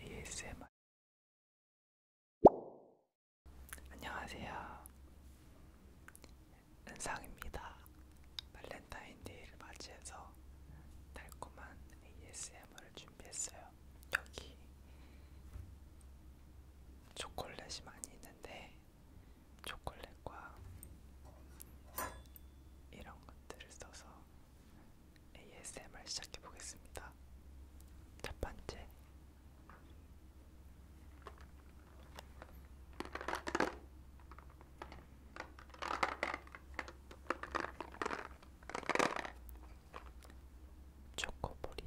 ASMR 안녕하세요. 은상입니다. 발렌타인데이를 맞이해서 달콤한 ASMR을 준비했어요. 여기 초콜릿이 많이 있는데 초콜릿과 이런 것들을 써서 ASMR 시작해 보겠습니다. 첫 번째. 초코볼이에요.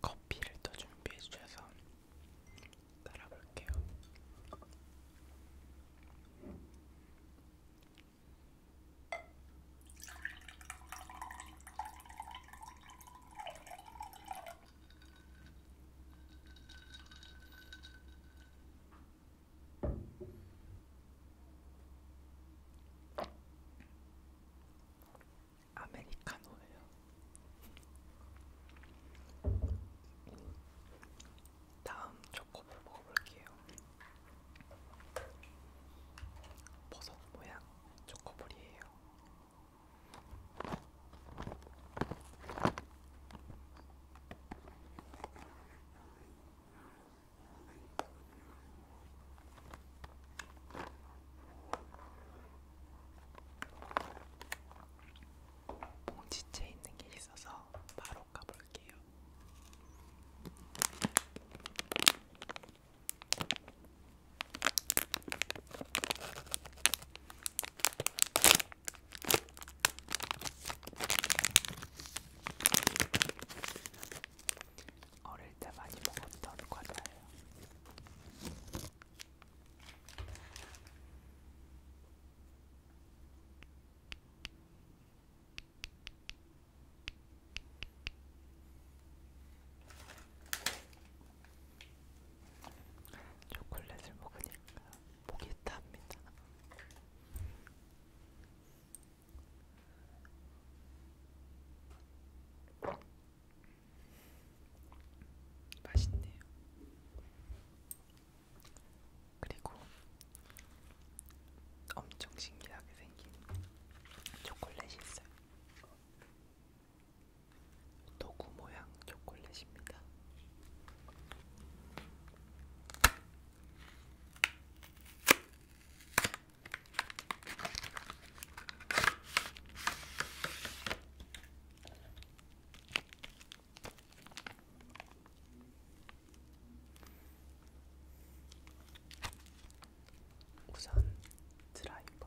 커피를 또 준비해 주셔서 따라 볼게요. 아메리카노예요. 음, 다음 초코볼 먹어볼게요. 버섯 모양 초코볼이에요. 봉지채 있는 게 있어서 바로 까볼게요. 어릴 때 많이 먹었던 과자예요. 초콜릿을 먹으니까 목이 탑니다. 맛있네요. 그리고 엄청 신기하게 생긴 초콜릿이 있어요. 도구 모양 초콜릿입니다. 우선 드라이버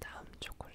다음 초콜릿.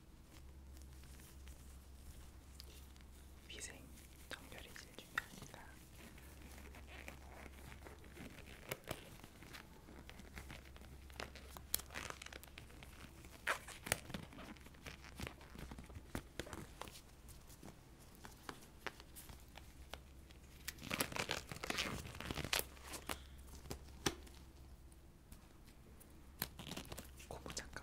위생 정렬이 제일 중요하니까. 고무장갑기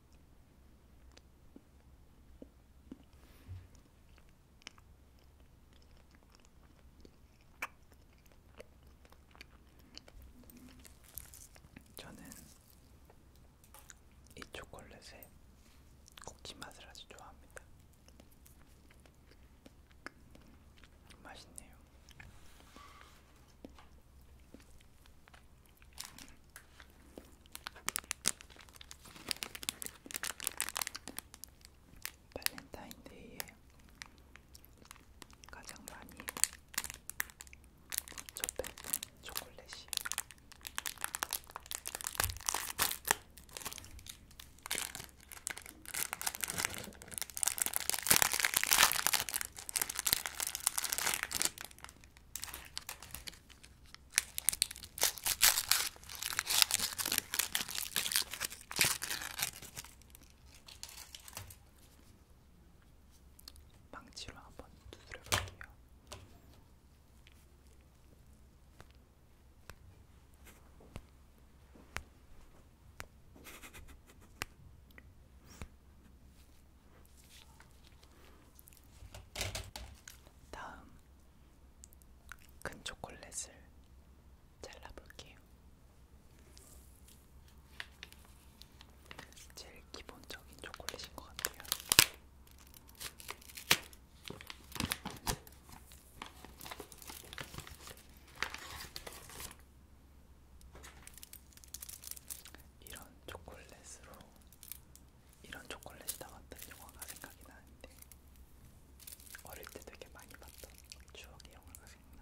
저는 이 초콜릿의 꼭지 맛을 아주 좋아합니다. 맛있네요. 발렌타인데이에 가장 많이 접했던 초콜릿이 망치로 한번 두드려 볼게요. 다음 큰 초콜릿을 잘라볼게요. 제일 기본적인 초콜릿인 것 같아요. 이런 초콜릿으로 이런 초콜릿이다 같은 영화가 생각이 나는데 어릴 때 되게 많이 봤던 추억의 영화가 생각나.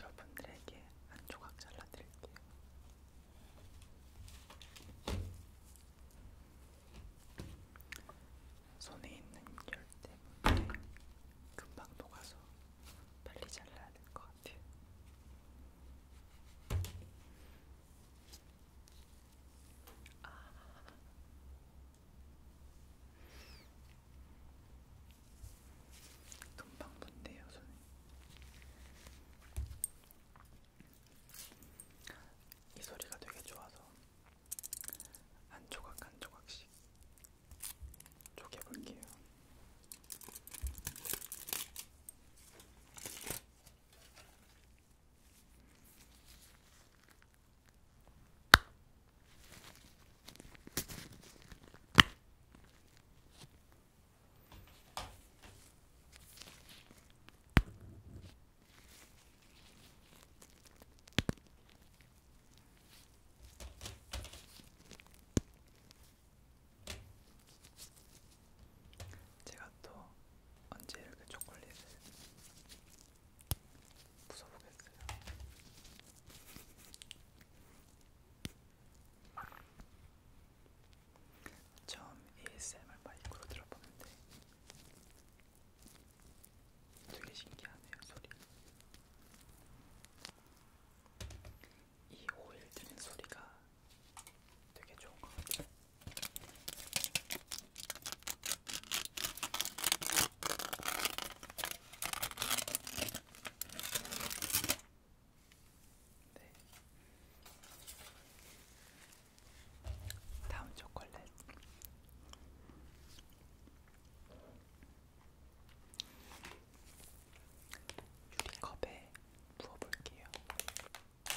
여러분들에게 한 조각 잘라드릴게요. 손에 있는 열 때문에 금방 녹아서 빨리 잘라야 될 것 같아요. 아, 금방 붙네요, 손에. 이 소리가 되게 좋아서 한 조각 한 조각씩 쪼개볼게요. 제가 또 언제 이렇게 초콜릿을 부숴보겠어요. 처음 ASMR 마이크로 들어보는데 되게 신기하네요 소리. 이 오일 드는 소리가 되게 좋은 것 같아요. 네. 다음 초콜릿. 유리컵에 부어볼게요. 네.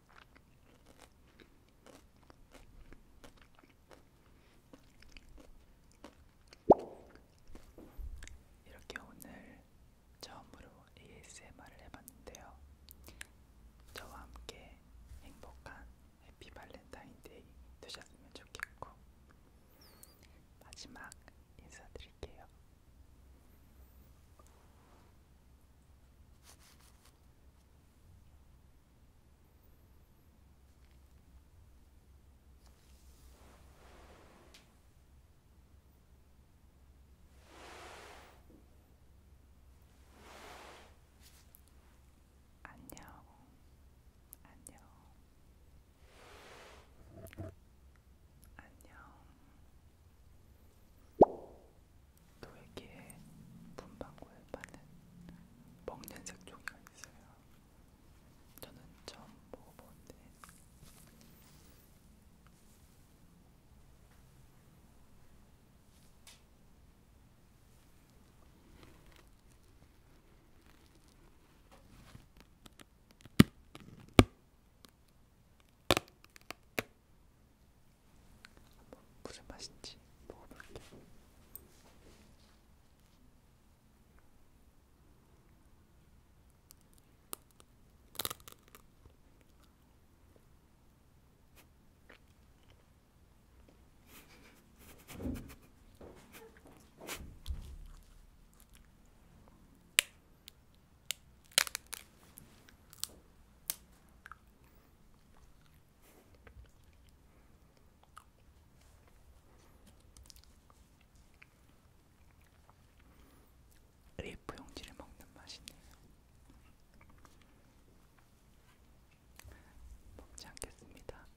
이렇게 오늘 처음으로 ASMR을 해봤는데요. 저와 함께 행복한 해피 발렌타인데이 되셨으면 좋겠고 마지막 인사드릴게요. 안녕, 안녕, 안녕. 또외기에 분방구에 파는 먹는 색종이가 있어요. 저는 처음 먹어보는데 한번 무슨 맛인지 먹어볼게요. 레이프 용지를 먹는 맛이네요. 먹지 않겠습니다.